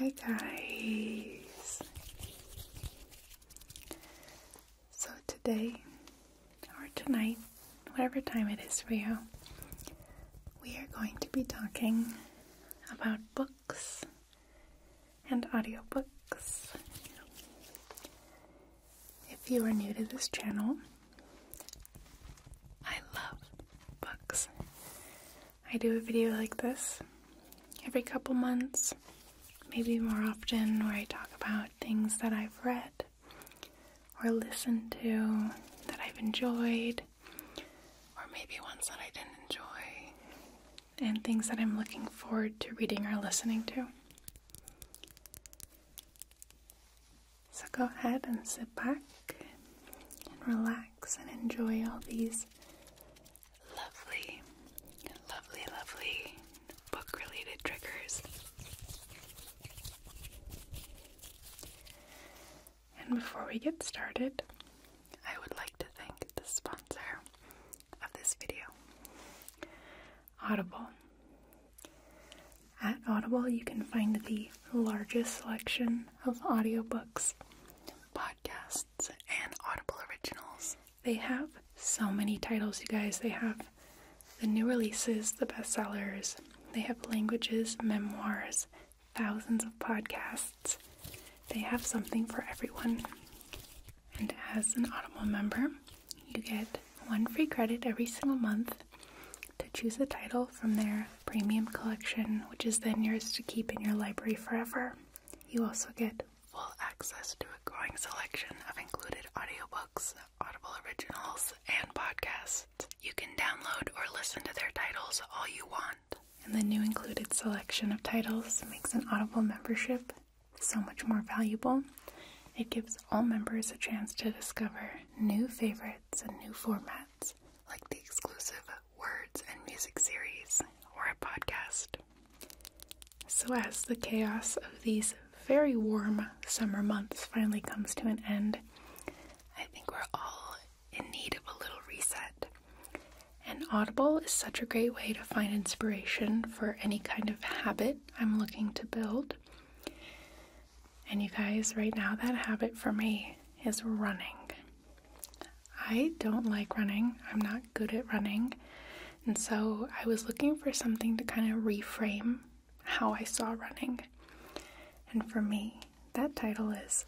Hi guys! So today, or tonight, whatever time it is for you, we are going to be talking about books and audiobooks. If you are new to this channel, I love books. I do a video like this every couple months, maybe more often, where I talk about things that I've read or listened to that I've enjoyed, or maybe ones that I didn't enjoy, and things that I'm looking forward to reading or listening to. So go ahead and sit back and relax and enjoy all these lovely, lovely, lovely book related triggers. And before we get started, I would like to thank the sponsor of this video, Audible. At Audible, you can find the largest selection of audiobooks, podcasts, and Audible originals. They have so many titles, you guys. They have the new releases, the bestsellers, they have languages, memoirs, thousands of podcasts. They have something for everyone. And as an Audible member, you get one free credit every single month to choose a title from their premium collection, which is then yours to keep in your library forever. You also get full access to a growing selection of included audiobooks, Audible originals, and podcasts. You can download or listen to their titles all you want. And the new included selection of titles makes an Audible membership so much more valuable. It gives all members a chance to discover new favorites websites and new formats like the exclusive Words and Music series or a podcast. So, as the chaos of these very warm summer months finally comes to an end, I think we're all in need of a little reset. And Audible is such a great way to find inspiration for any kind of habit I'm looking to build. And you guys, right now, that habit for me is running. I don't like running, I'm not good at running. And so I was looking for something to kind of reframe how I saw running. And for me, that title is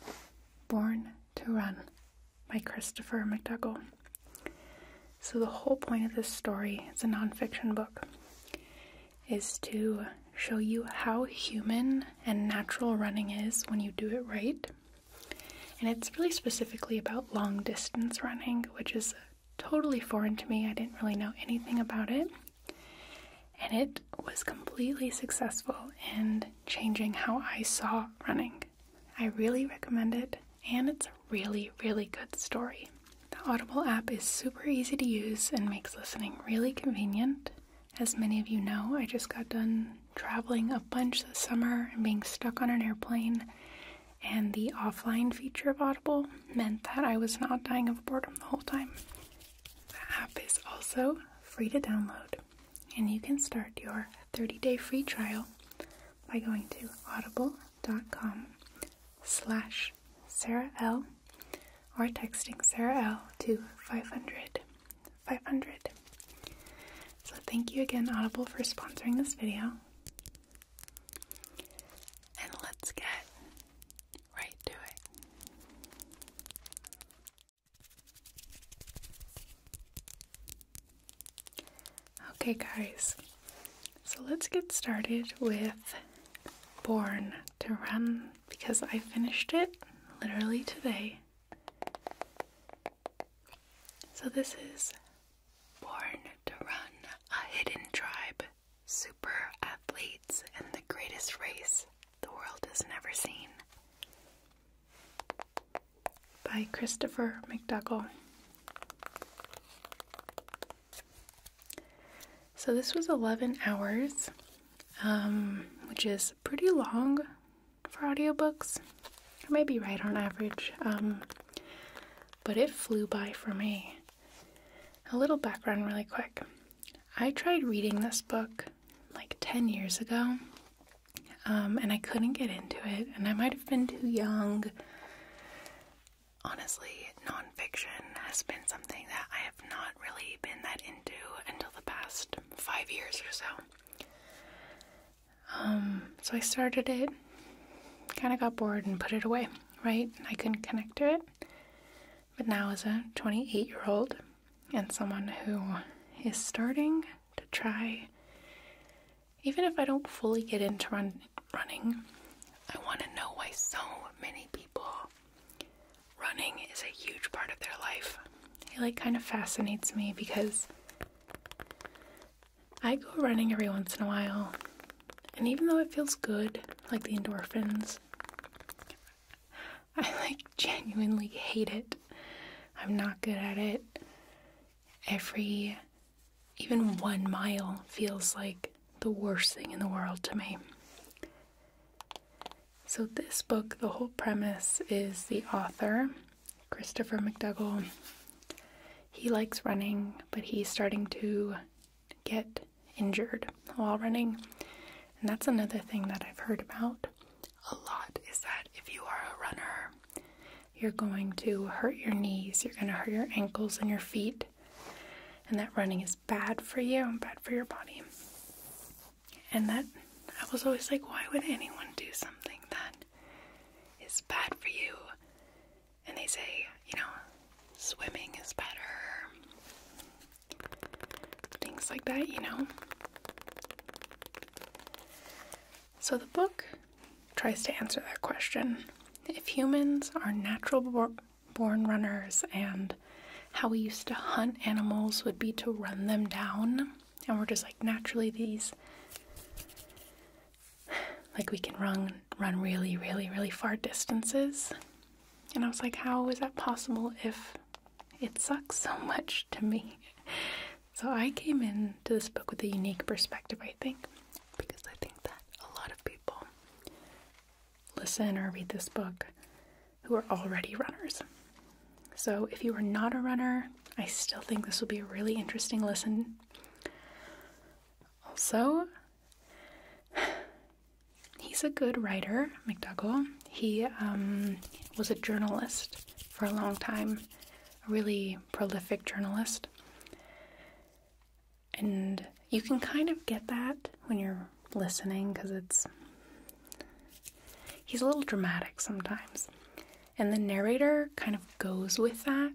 Born to Run by Christopher McDougall. So, the whole point of this story its a nonfiction book is to show you how human and natural running is when you do it right. And it's really specifically about long distance running, which is totally foreign to me. I didn't really know anything about it. And it was completely successful in changing how I saw running. I really recommend it, and it's a really, really good story. The Audible app is super easy to use and makes listening really convenient. As many of you know, I just got done traveling a bunch this summer and being stuck on an airplane, and the offline feature of Audible meant that I was not dying of boredom the whole time. The app is also free to download, and you can start your 30-day free trial by going to audible.com slash Sarah L or texting Sarah L to 500 500. So thank you again Audible for sponsoring this video. And let's get right to it. Okay, guys, so let's get started with Born to Run because I finished it literally today. So, this is Born to Run a Hidden Tribe Super Athletes and the Greatest Race the World Has Never Seen by Christopher McDougall. So this was 11 hours, um, which is pretty long for audiobooks. I might be right on average, um, but it flew by for me. A little background, really quick. I tried reading this book like 10 years ago, um, and I couldn't get into it, and I might have been too young honestly, nonfiction has been something that I have not really been that into until the past five years or so. Um, so I started it, kind of got bored and put it away, right? I couldn't connect to it. But now, as a 28 year old and someone who is starting to try, even if I don't fully get into run- running, I want to know why so many people running is a huge part of their life. It like kind of fascinates me because I go running every once in a while, and even though it feels good, like the endorphins, I like genuinely hate it. I'm not good at it. Every even one mile feels like the worst thing in the world to me. So, this book, the whole premise is the author, Christopher McDougall. He likes running, but he's starting to get injured while running. And that's another thing that I've heard about a lot is that if you are a runner, you're going to hurt your knees, you're going to hurt your ankles and your feet, and that running is bad for you and bad for your body. And that I was always like, why would anyone do something that is bad for you? And they say, you know, swimming is better, things like that, you know. So the book tries to answer that question. If humans are natural born runners and how we used to hunt animals would be to run them down. And we're just like naturally these like we can run run really, really, really far distances. And I was like, how is that possible if it sucks so much to me? So I came into this book with a unique perspective, I think, because I think that a lot of people listen or read this book who are already runners. So if you are not a runner, I still think this will be a really interesting listen. Also, he's a good writer, McDougall. He um, was a journalist for a long time, a really prolific journalist. And you can kind of get that when you're listening because it's. He's a little dramatic sometimes. And the narrator kind of goes with that.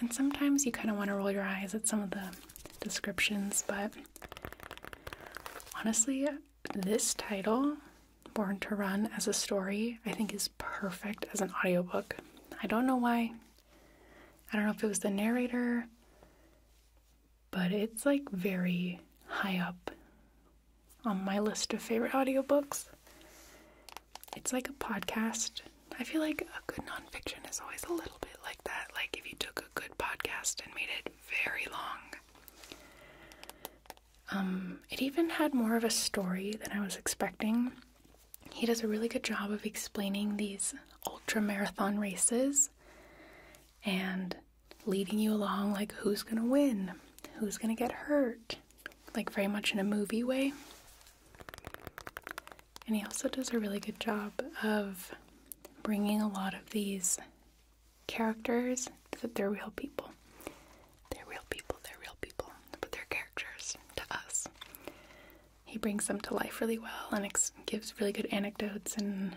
And sometimes you kind of want to roll your eyes at some of the descriptions, but honestly, this title, Born to Run as a Story, I think is perfect as an audiobook. I don't know why. I don't know if it was the narrator, but it's like very high up on my list of favorite audiobooks. It's like a podcast. I feel like a good nonfiction is always a little bit like that. Like if you took a good podcast and made it very long. Um, it even had more of a story than I was expecting. He does a really good job of explaining these ultra marathon races and leading you along like who's going to win, who's going to get hurt, like very much in a movie way. And he also does a really good job of bringing a lot of these characters that they're real people. They're real people, they're real people, but they're characters to us he brings them to life really well and gives really good anecdotes and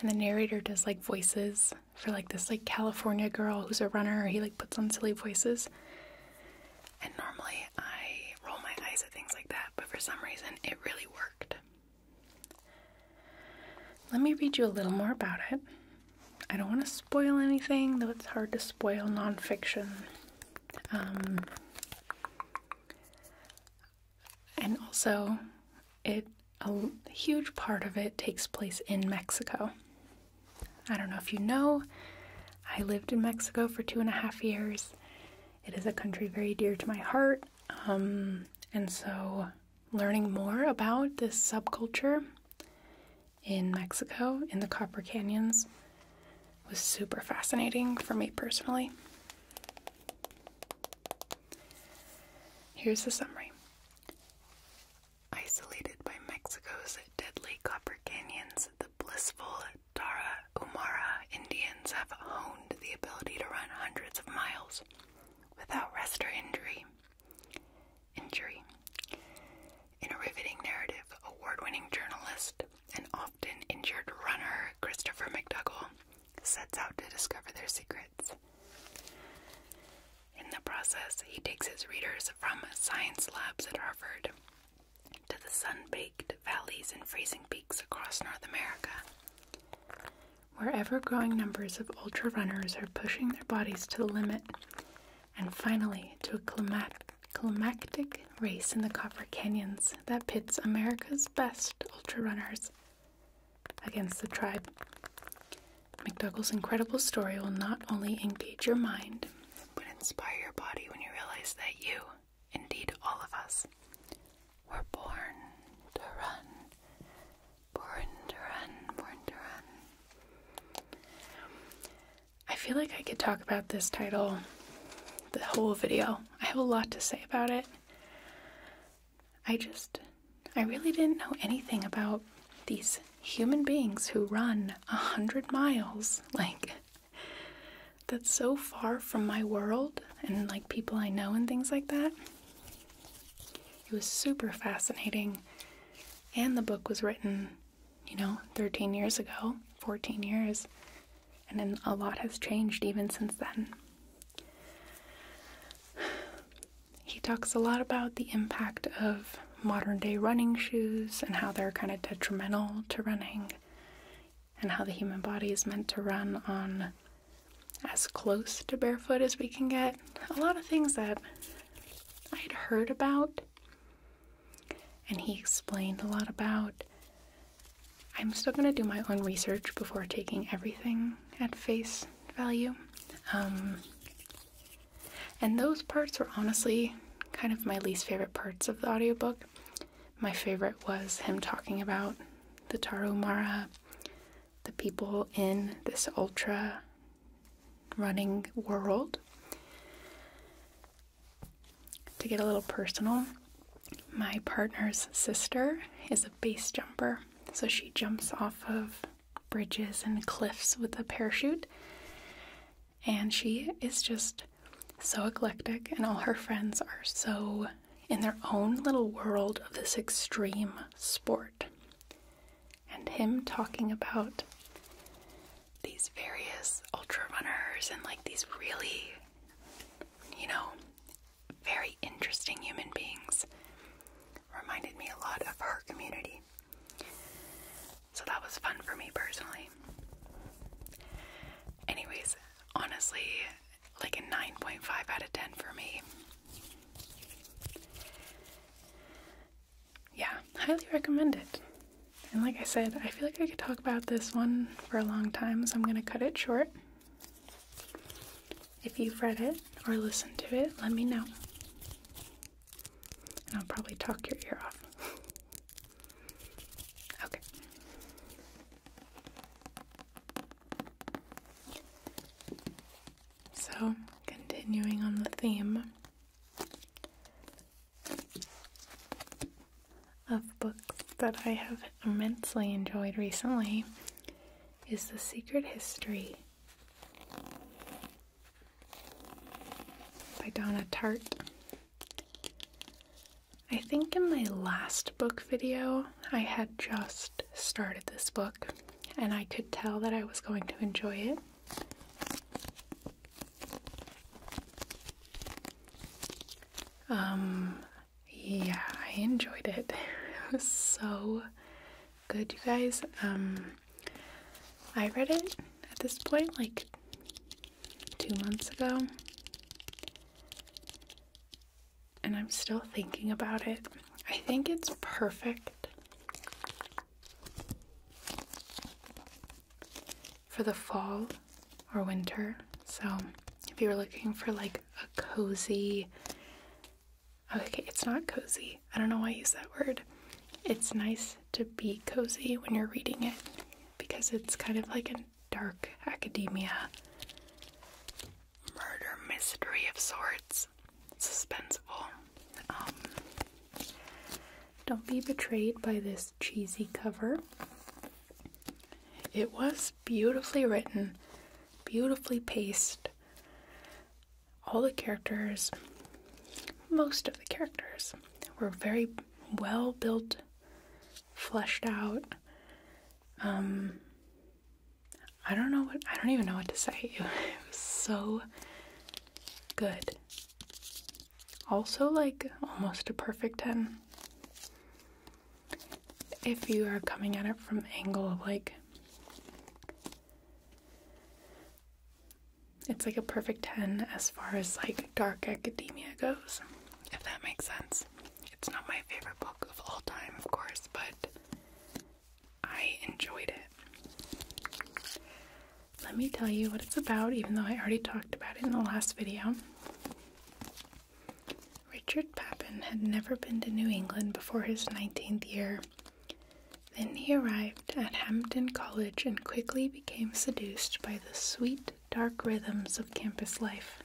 and the narrator does like voices for like this like California girl who's a runner. He like puts on silly voices. And normally I roll my eyes at things like that, but for some reason it really worked. Let me read you a little more about it. I don't want to spoil anything, though it's hard to spoil nonfiction. Um, and also, it a huge part of it takes place in Mexico. I don't know if you know, I lived in Mexico for two and a half years. It is a country very dear to my heart. Um, and so, learning more about this subculture in Mexico, in the Copper Canyons, was super fascinating for me personally. Here's the summary. Isolated by Mexico's deadly copper canyons, the blissful Tara Umara Indians have honed the ability to run hundreds of miles without rest or injury. Injury. In a riveting narrative, award winning journalist and often injured runner Christopher McDougall sets out to discover their secrets. In the process, he takes his readers from science labs at Harvard to the sun baked valleys and freezing peaks across North America. Where ever growing numbers of ultra runners are pushing their bodies to the limit and finally to a climactic race in the Copper Canyons that pits America's best ultra runners against the tribe. McDougal's incredible story will not only engage your mind, but inspire your body when you realize that you, indeed all of us, were born to run. Born to run, born to run. I feel like I could talk about this title the whole video. I have a lot to say about it. I just, I really didn't know anything about these human beings who run a hundred miles. Like, that's so far from my world and like people I know and things like that. It was super fascinating. And the book was written, you know, 13 years ago, 14 years and then a lot has changed even since then. He talks a lot about the impact of modern day running shoes and how they're kind of detrimental to running, and how the human body is meant to run on as close to barefoot as we can get. A lot of things that I'd heard about, and he explained a lot about. I'm still gonna do my own research before taking everything at face value. Um, and those parts were honestly kind of my least favorite parts of the audiobook. My favorite was him talking about the Tarumara, the people in this ultra running world. To get a little personal, my partner's sister is a base jumper, so she jumps off of bridges and cliffs with a parachute. And she is just so eclectic, and all her friends are so in their own little world of this extreme sport. And him talking about these various ultra runners and like these really you know, very interesting human beings. Reminded me a lot of her community. So that was fun for me personally. Anyways, honestly, like a 9.5 out of 10 for me. Yeah, highly recommend it. And like I said, I feel like I could talk about this one for a long time, so I'm going to cut it short. If you've read it or listened to it, let me know. And I'll probably talk your ear off. okay. So, continuing on the theme, of books that I have immensely enjoyed recently is The Secret History by Donna Tartt. I think in my last book video, I had just started this book and I could tell that I was going to enjoy it. Um, yeah, I enjoyed it. It was so good, you guys. Um, I read it at this point like two months ago, and I'm still thinking about it. I think it's perfect for the fall or winter. So if you are looking for like a cozy, okay, it's not cozy. I don't know why I use that word. It's nice to be cozy when you're reading it because it's kind of like a dark academia murder mystery of sorts. Suspenseful. Um, don't be betrayed by this cheesy cover. It was beautifully written, beautifully paced. All the characters, most of the characters, were very well built, fleshed out. Um, I don't know what, I don't even know what to say. It was so good. Also, like almost a perfect 10 if you are coming at it from the angle of like it's like a perfect 10 as far as like dark academia goes if that makes sense it's not my favorite book of all time of course but i enjoyed it let me tell you what it's about even though i already talked about it in the last video Richard Papin had never been to New England before his 19th year. Then he arrived at Hampton College and quickly became seduced by the sweet, dark rhythms of campus life,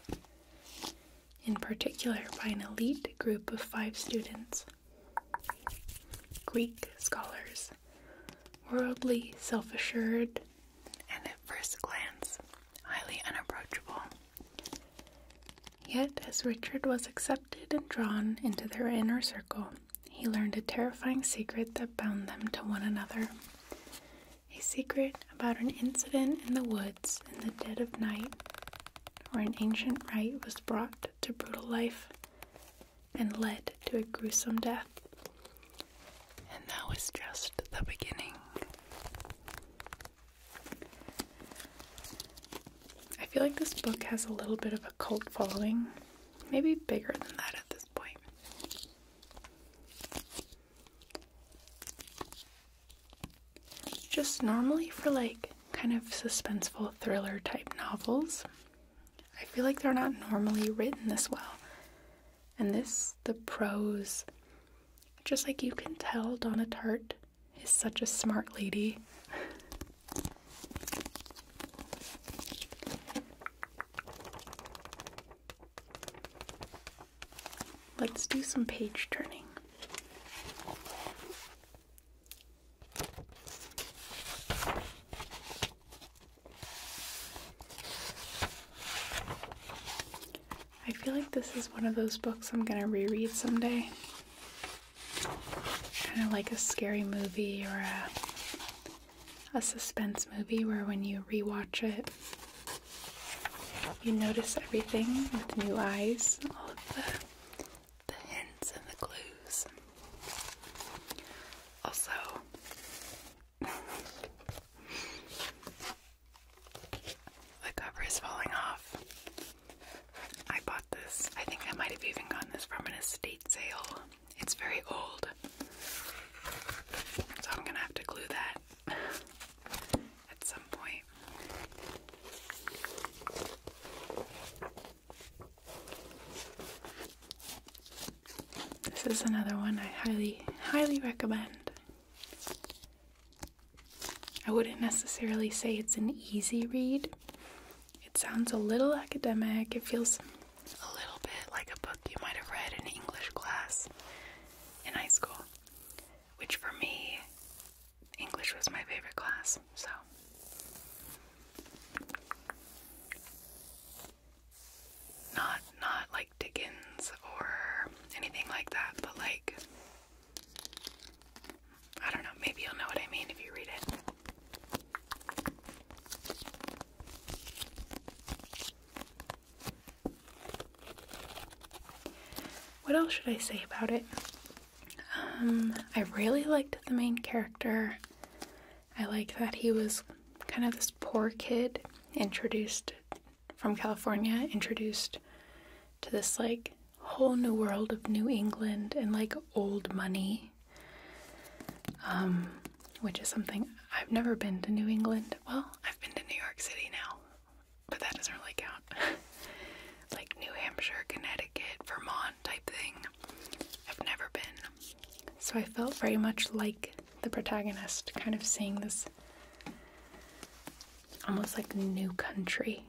in particular by an elite group of five students Greek scholars, worldly, self assured, and at first glance highly unapproachable. Yet, as Richard was accepted and drawn into their inner circle, he learned a terrifying secret that bound them to one another. A secret about an incident in the woods in the dead of night, where an ancient rite was brought to brutal life and led to a gruesome death. And that was just the beginning. I feel like this book has a little bit of a cult following, maybe bigger than that at this point. Just normally for like kind of suspenseful thriller type novels, I feel like they're not normally written this well. And this, the prose just like you can tell, Donna Tart is such a smart lady. Let's do some page turning. I feel like this is one of those books I'm gonna reread someday. Kind of like a scary movie or a, a suspense movie where when you rewatch it, you notice everything with new eyes, all of the, the hints and the clues. Also, the cover is falling off. I bought this. I think I might have even gotten this from an estate sale. It's very old. So I'm gonna have to glue that at some point. This is another one I highly, highly recommend. I wouldn't necessarily say it's an easy read. It sounds a little academic. It feels a little bit like a book you might have read in English class in high school, which for me, English was my favorite class, so. Not not like Dickens or anything like that, but like I don't know, maybe you'll know what I mean if you read it. What else should I say about it? Um, I really liked the main character. I like that he was kind of this poor kid introduced from California introduced to this like whole new world of New England and like old money. Um, which is something I've never been to New England. Well, I've been to New York City now, but that doesn't really count. like New Hampshire, Connecticut, Vermont type thing. I've never been. So I felt very much like the protagonist, kind of seeing this Almost like new country.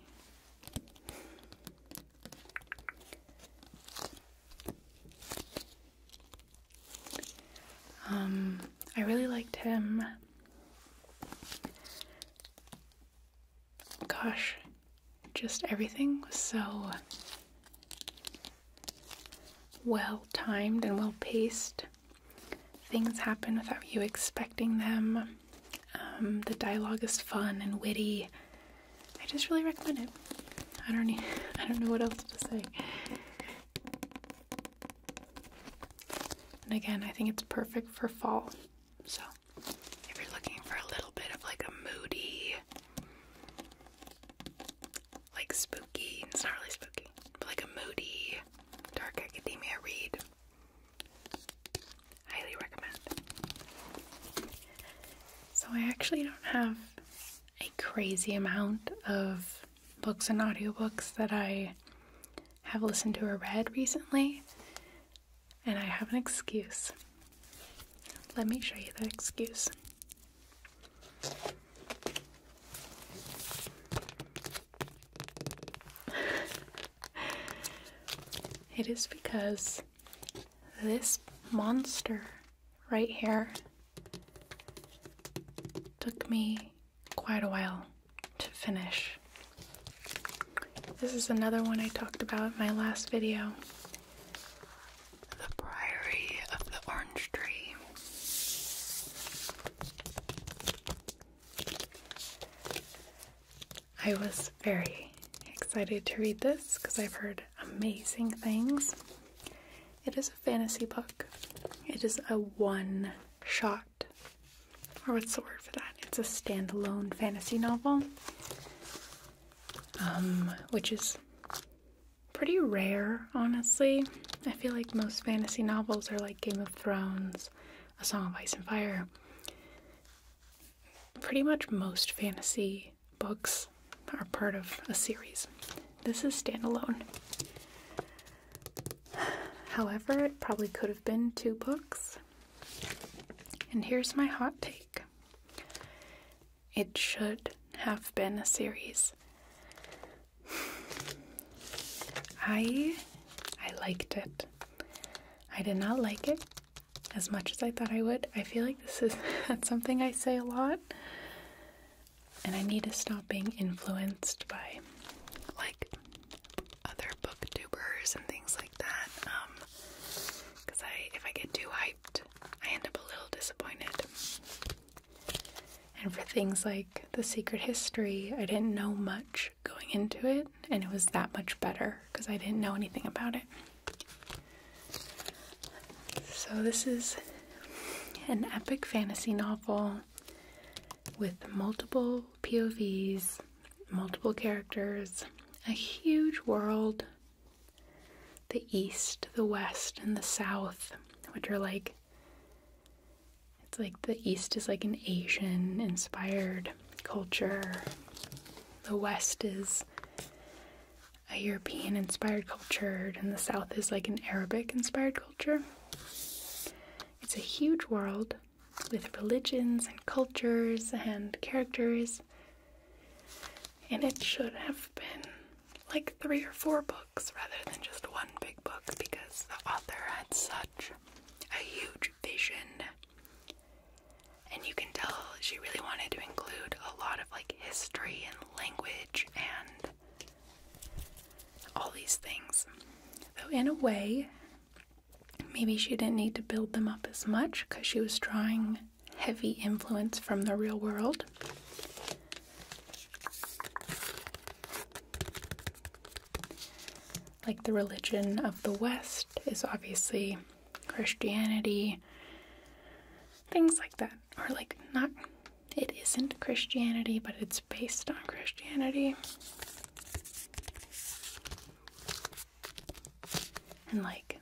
Um, I really liked him. Gosh, just everything was so well timed and well paced. Things happen without you expecting them. Um, the dialogue is fun and witty. I just really recommend it. I don't need, I don't know what else to say. And again, I think it's perfect for fall. So, if you're looking for a little bit of like a moody, like spooky, it's not really spooky like a moody, dark academia read. Highly recommend. So I actually don't have a crazy amount of books and audiobooks that I have listened to or read recently, and I have an excuse. Let me show you that excuse. it is because this monster right here took me quite a while to finish. This is another one I talked about in my last video. The Priory of the Orange Tree. I was very excited to read this because I've heard amazing things. It is a fantasy book. It is a one shot, or what's the word for that? It's a standalone fantasy novel, um, which is pretty rare, honestly. I feel like most fantasy novels are like Game of Thrones, A Song of Ice and Fire. Pretty much most fantasy books are part of a series. This is standalone. However, it probably could have been two books. And here's my hot take it should have been a series. I I liked it. I did not like it as much as I thought I would. I feel like this is that's something I say a lot. And I need to stop being influenced by like other book booktubers and things like that. Um cuz I if I get too hyped, I end up a little disappointed. And for things like The Secret History, I didn't know much going into it, and it was that much better because I didn't know anything about it. So, this is an epic fantasy novel with multiple POVs, multiple characters, a huge world, the East, the West, and the South, which are like it's like the East is like an Asian inspired culture. The West is a European inspired culture, and the South is like an Arabic inspired culture. It's a huge world with religions and cultures and characters, and it should have been like three or four books rather than just one big book because the author had such a huge vision. And you can tell she really wanted to include a lot of like history and language and all these things. Though, in a way, maybe she didn't need to build them up as much because she was drawing heavy influence from the real world. Like the religion of the West is obviously Christianity, things like that. Or, like, not, it isn't Christianity, but it's based on Christianity. And, like,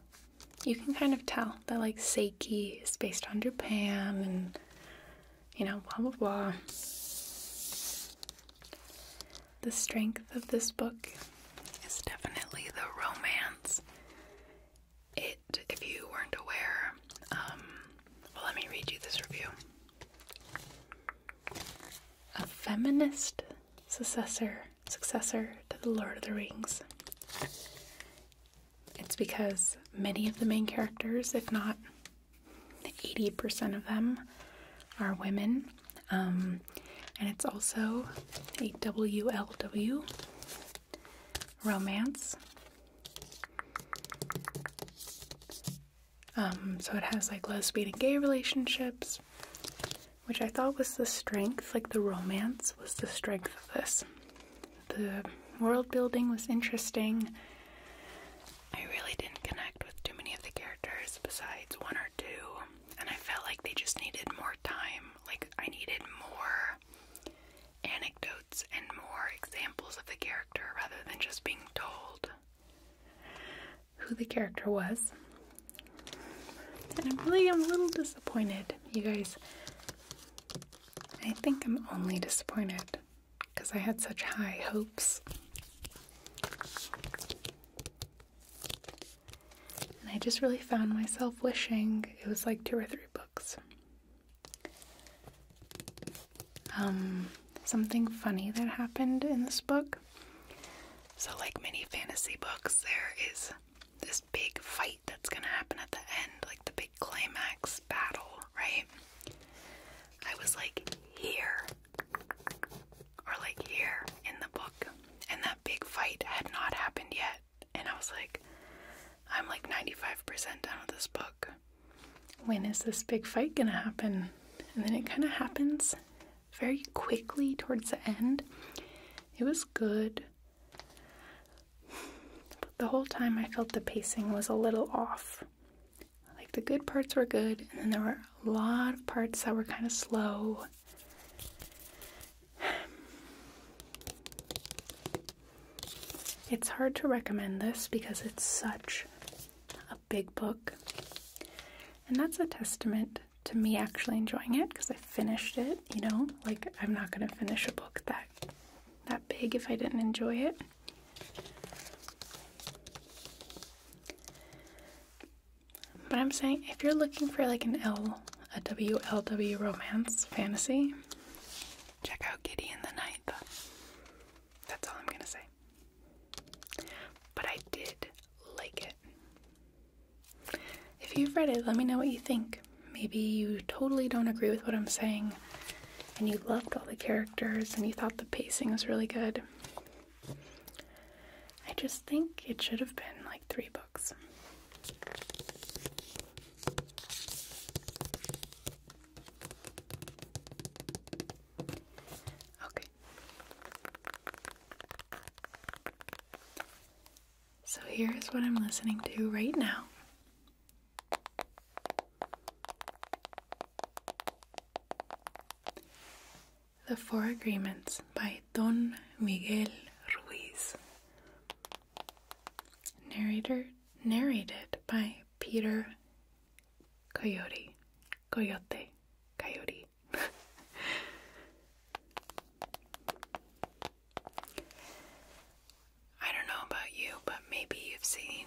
you can kind of tell that, like, Seiki is based on Japan and you know, blah blah blah. The strength of this book is definitely the romance. It, if you weren't aware, um, well, let me read you this review. A feminist successor, successor to the Lord of the Rings it's because many of the main characters, if not 80% of them, are women. Um, and it's also a WLW romance. Um, so it has like lesbian and gay relationships, which I thought was the strength, like the romance was the strength of this. The world building was interesting. I really didn't connect with too many of the characters besides one or two, and I felt like they just needed more time. Like, I needed more anecdotes and more examples of the character rather than just being told who the character was. And I'm really am a little disappointed, you guys. I think I'm only disappointed because I had such high hopes. And I just really found myself wishing it was like two or three books. Um, something funny that happened in this book. So, like many fantasy books, there is this big fight that's gonna happen at the end, like the big climax battle, right? I was like here, or like here in the book, and that big fight had not happened yet. And I was like, I'm like 95% done with this book. When is this big fight gonna happen? And then it kind of happens very quickly towards the end. It was good. But the whole time I felt the pacing was a little off. Like the good parts were good, and then there were a lot of parts that were kind of slow. It's hard to recommend this because it's such a big book. And that's a testament to me actually enjoying it because I finished it, you know? Like I'm not going to finish a book that that big if I didn't enjoy it. But I'm saying if you're looking for like an L, a W L W romance fantasy, check out Giddy in the Night. That's all I'm gonna say. But I did like it. If you've read it, let me know what you think. Maybe you totally don't agree with what I'm saying and you loved all the characters and you thought the pacing was really good. I just think it should have been like three books. Okay. So here's what I'm listening to right now. The Four Agreements by Don Miguel Ruiz. Narrator, narrated by Peter Coyote. Coyote. Coyote. I don't know about you, but maybe you've seen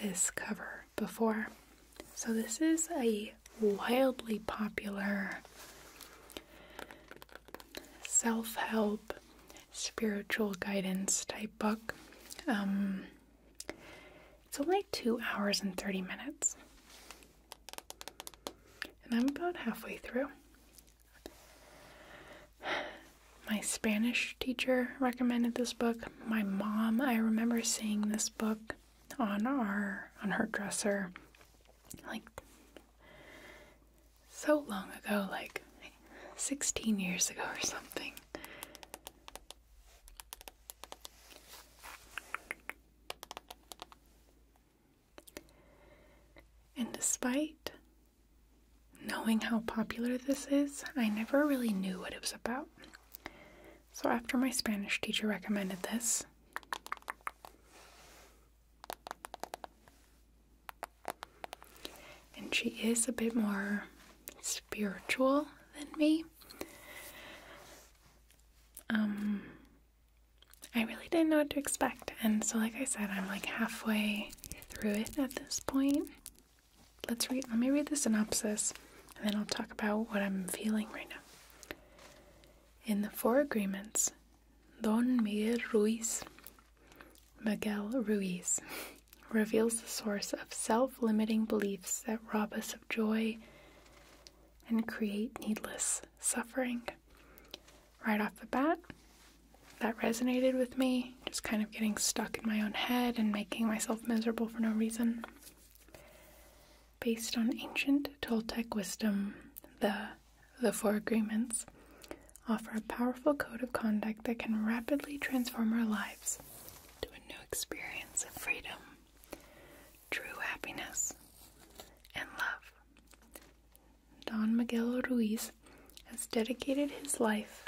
this cover before. So, this is a wildly popular self help, spiritual guidance type book. Um, it's only two hours and 30 minutes. And I'm about halfway through. My Spanish teacher recommended this book. My mom, I remember seeing this book on our on her dresser like so long ago, like 16 years ago or something. And despite knowing how popular this is, I never really knew what it was about. So after my Spanish teacher recommended this, and she is a bit more spiritual than me. Um, I really didn't know what to expect. And so, like I said, I'm like halfway through it at this point. Let's read, let me read the synopsis and then I'll talk about what I'm feeling right now. In the Four Agreements, Don Miguel Ruiz, Miguel Ruiz, reveals the source of self limiting beliefs that rob us of joy and create needless suffering right off the bat. That resonated with me, just kind of getting stuck in my own head and making myself miserable for no reason. Based on ancient Toltec wisdom, the the Four Agreements offer a powerful code of conduct that can rapidly transform our lives to a new experience of freedom, true happiness, and love. Don Miguel Ruiz has dedicated his life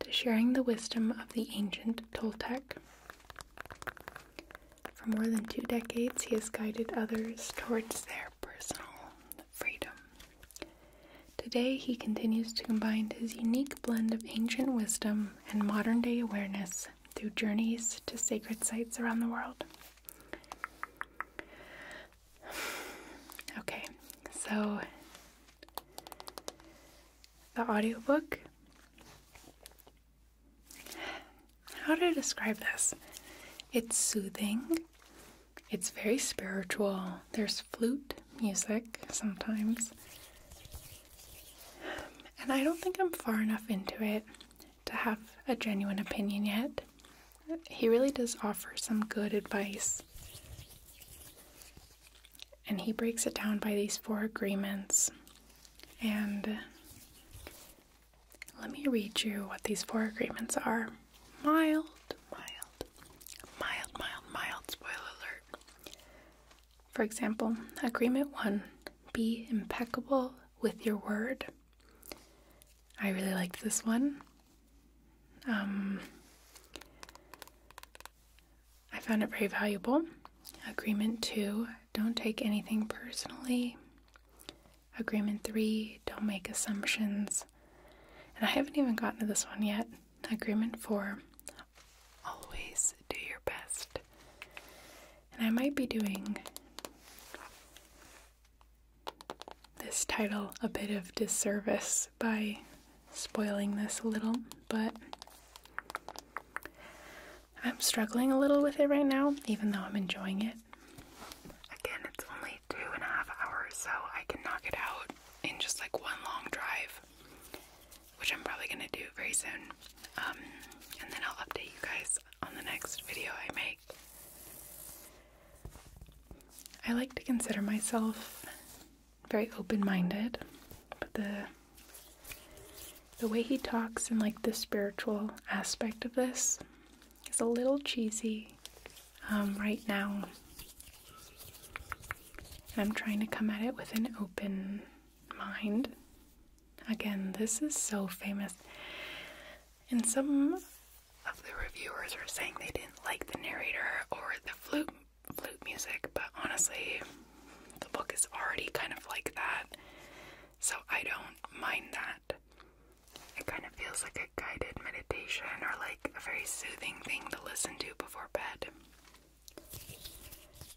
to sharing the wisdom of the ancient Toltec. For more than two decades, he has guided others towards their personal freedom. Today, he continues to combine his unique blend of ancient wisdom and modern day awareness through journeys to sacred sites around the world. Okay, so the audiobook. How to describe this? It's soothing, it's very spiritual. There's flute music sometimes. And I don't think I'm far enough into it to have a genuine opinion yet he really does offer some good advice. And he breaks it down by these four agreements. And uh, let me read you what these four agreements are mild, mild, mild, mild, mild, spoiler alert. For example, agreement one be impeccable with your word. I really liked this one. Um, I found it very valuable. Agreement two, don't take anything personally. Agreement three, don't make assumptions. And I haven't even gotten to this one yet. Agreement four, always do your best. And I might be doing this title a bit of disservice by spoiling this a little, but I'm struggling a little with it right now, even though I'm enjoying it. Again, it's only two and a half hours, so I can knock it out in just like one long drive, which I'm probably gonna do very soon. Um, and then I'll update you guys on the next video I make. I like to consider myself very open-minded, but the the way he talks and like the spiritual aspect of this is a little cheesy um, right now. And I'm trying to come at it with an open mind. Again, this is so famous. And some of the reviewers are saying they didn't like the narrator or the flute flute music, but honestly, the book is already kind of like that. So I don't mind that. It kind of feels like a guided meditation or like a very soothing thing to listen to before bed.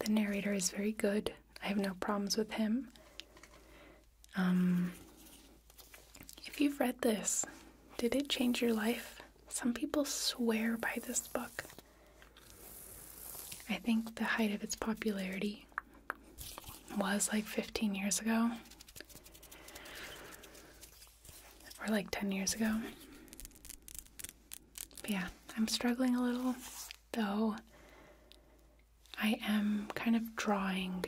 The narrator is very good. I have no problems with him. Um, if you've read this, did it change your life? Some people swear by this book. I think the height of its popularity was like 15 years ago, or like 10 years ago. yeah, I'm struggling a little, though I am kind of drawing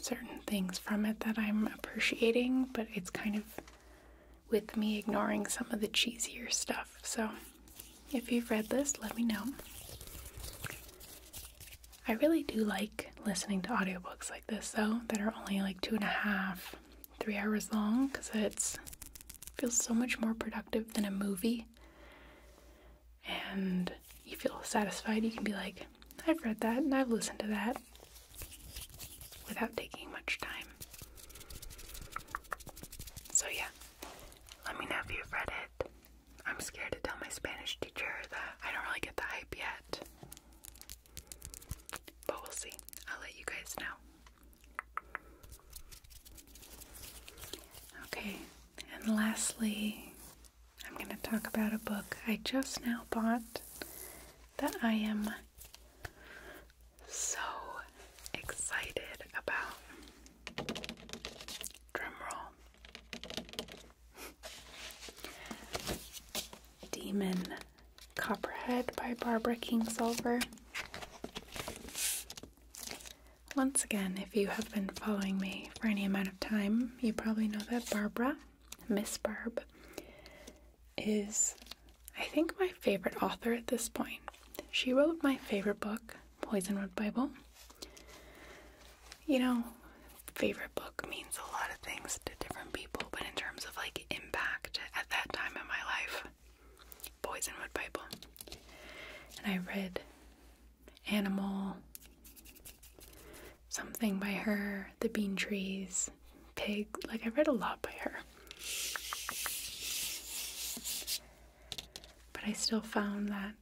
certain things from it that I'm appreciating, but it's kind of with me ignoring some of the cheesier stuff. So if you've read this, let me know. I really do like listening to audiobooks like this, though, that are only like two and a half, three hours long, because it feels so much more productive than a movie and you feel satisfied, you can be like, I've read that and I've listened to that without taking much time. So, yeah, let me know if you've read it. I'm scared to tell my Spanish teacher that I don't really get the hype yet. But we'll see. I'll let you guys know. Okay, and lastly, I'm going to talk about a book I just now bought that I am so excited about. Drumroll. Demon Copperhead by Barbara Kingsolver. Once again, if you have been following me for any amount of time, you probably know that Barbara Miss Barb, is I think my favorite author at this point. She wrote my favorite book, Poisonwood Bible. You know, favorite book means a lot of things to different people, but in terms of like impact at that time in my life, Poisonwood Bible. And I read animal, something by her, the bean trees, pig. Like, I read a lot by her. But I still found that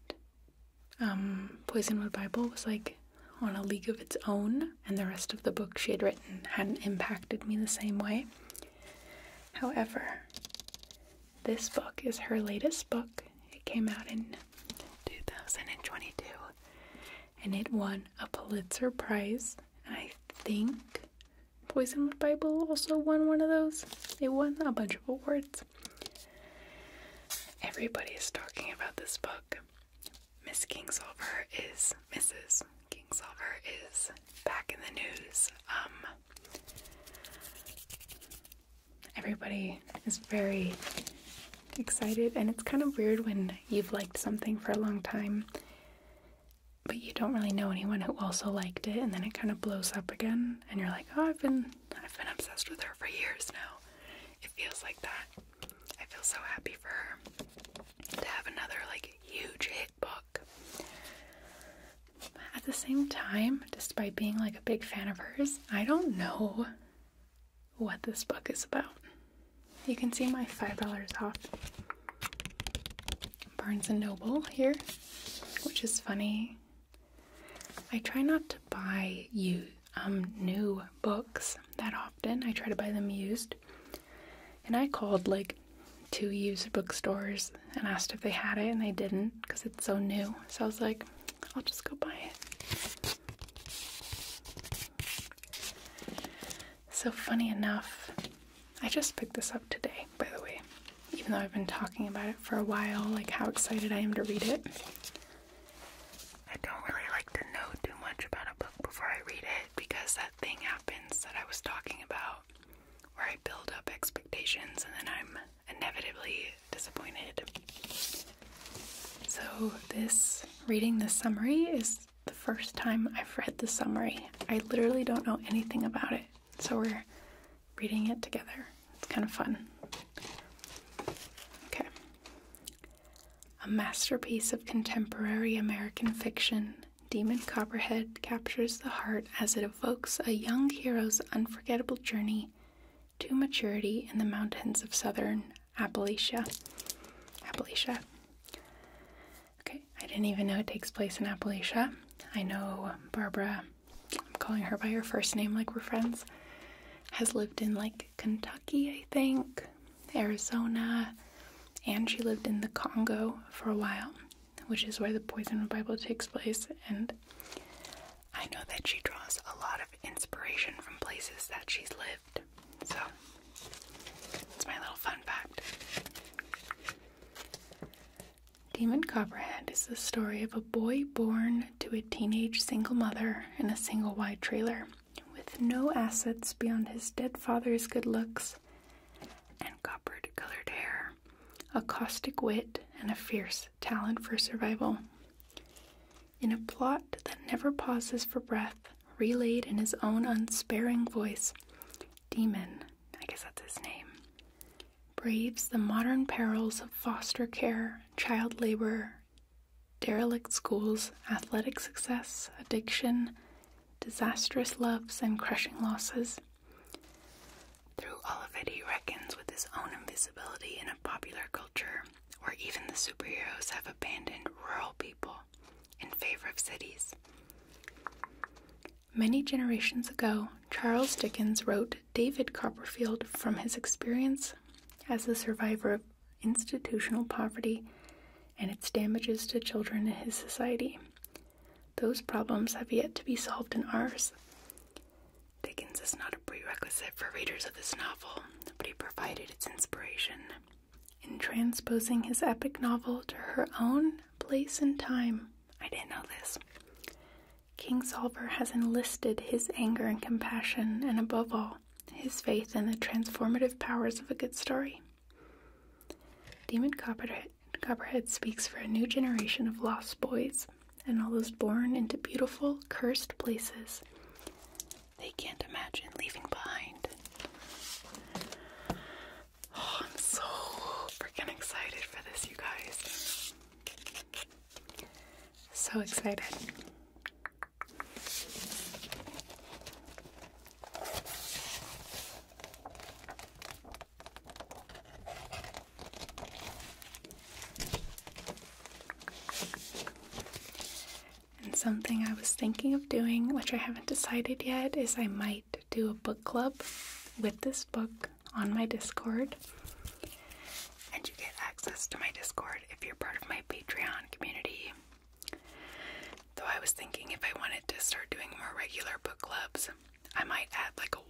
um, Poisonwood Bible was like on a league of its own, and the rest of the book she had written hadn't impacted me the same way. However, this book is her latest book, it came out in 2022 and it won a Pulitzer Prize. I think Poisonwood Bible also won one of those. It won a bunch of awards. Everybody is talking about this book. Miss Kingsolver is Mrs. Kingsolver is back in the news. Um everybody is very excited, and it's kind of weird when you've liked something for a long time, but you don't really know anyone who also liked it, and then it kind of blows up again, and you're like, oh, I've been, I've been obsessed with her for years now. It feels like that. I feel so happy for her to have another like huge hit book. At the same time, despite being like a big fan of hers, I don't know what this book is about. You can see my $5 off Barnes & Noble here, which is funny. I try not to buy you um, new books that often. I try to buy them used. And I called like two used bookstores and asked if they had it, and they didn't because it's so new. So I was like, I'll just go buy it. So, funny enough, I just picked this up today, by the way, even though I've been talking about it for a while, like how excited I am to read it. I don't really like to know too much about a book before I read it because that thing happens that I was talking about where I build up expectations and then I'm inevitably disappointed. So, this reading the summary is the first time I've read the summary. I literally don't know anything about it, so we're reading it together. It's kind of fun. Okay. A masterpiece of contemporary American fiction, Demon Copperhead captures the heart as it evokes a young hero's unforgettable journey to maturity in the mountains of southern Appalachia. Appalachia. Okay, I didn't even know it takes place in Appalachia. I know Barbara, I'm calling her by her first name like we're friends, has lived in like Kentucky, I think, Arizona, and she lived in the Congo for a while, which is where the Poison Bible takes place. And I know that she draws a lot of inspiration from places that she's lived. So, that's my little fun fact. Demon Copperhead is the story of a boy born to a teenage single mother in a single wide trailer with no assets beyond his dead father's good looks and copper colored hair, a caustic wit, and a fierce talent for survival in a plot that never pauses for breath, relayed in his own unsparing voice. Demon, I guess that's his name, braves the modern perils of foster care, child labor, derelict schools, athletic success, addiction, disastrous loves, and crushing losses. Through all of it, he reckons with his own invisibility in a popular culture or even the superheroes have abandoned rural people in favor of cities. Many generations ago, Charles Dickens wrote David Copperfield from his experience as a survivor of institutional poverty and its damages to children in his society. Those problems have yet to be solved in ours. Dickens is not a prerequisite for readers of this novel, but he provided its inspiration. In transposing his epic novel to her own place and time, I didn't know this. King Kingsolver has enlisted his anger and compassion, and above all, his faith in the transformative powers of a good story. Demon Copperhead speaks for a new generation of lost boys and all those born into beautiful, cursed places they can't imagine leaving behind. Oh, I'm so freaking excited for this, you guys. So excited. And something I was thinking of doing, which I haven't decided yet, is I might do a book club with this book on my Discord. And you get access to my Discord if you're part of my Patreon community. Though I was thinking if I wanted to start doing more regular book clubs, I might add like a $1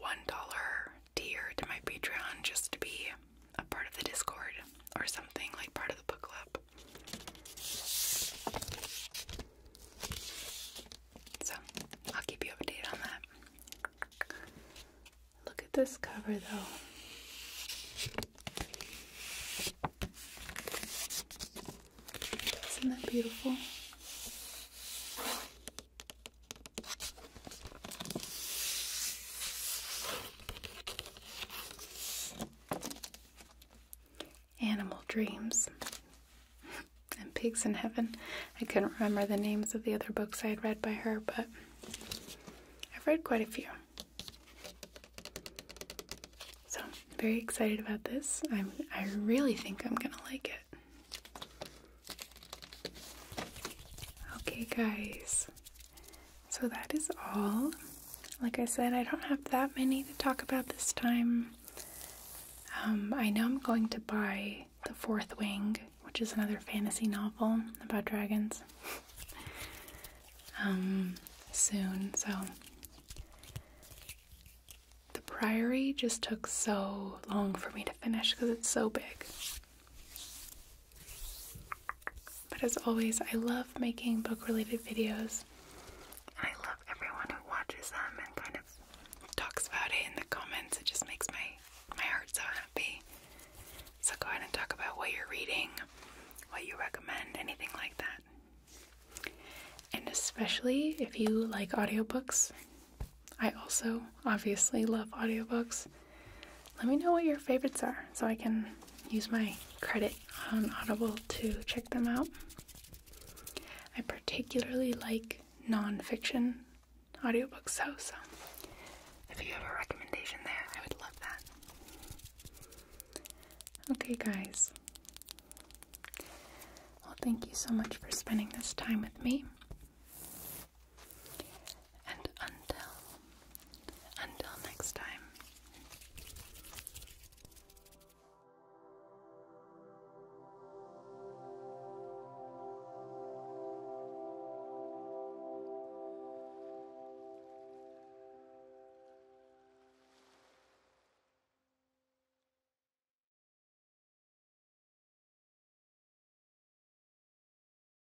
tier to my Patreon just to be a part of the Discord or something, like part of the book club. So I'll keep you updated on that. Look at this cover though. Isn't that beautiful? Animal Dreams and Pigs in Heaven. I couldn't remember the names of the other books I had read by her, but I've read quite a few. So, very excited about this. i I really think I'm gonna like it. Okay, guys, so that is all. Like I said, I don't have that many to talk about this time. Um, I know I'm going to buy The Fourth Wing, which is another fantasy novel about dragons, um, soon. So The Priory just took so long for me to finish because it's so big. But as always, I love making book related videos. I love everyone who watches them and kind of talks about it in the comments. It just makes my, my heart so happy. So go ahead and talk about what you're reading, what you recommend, anything like that. And especially if you like audiobooks. I also obviously love audiobooks let me know what your favorites are so I can use my credit on Audible to check them out. I particularly like nonfiction audiobooks, so, so if you have a recommendation there, I would love that. Okay, guys. Well, thank you so much for spending this time with me. And until until next time.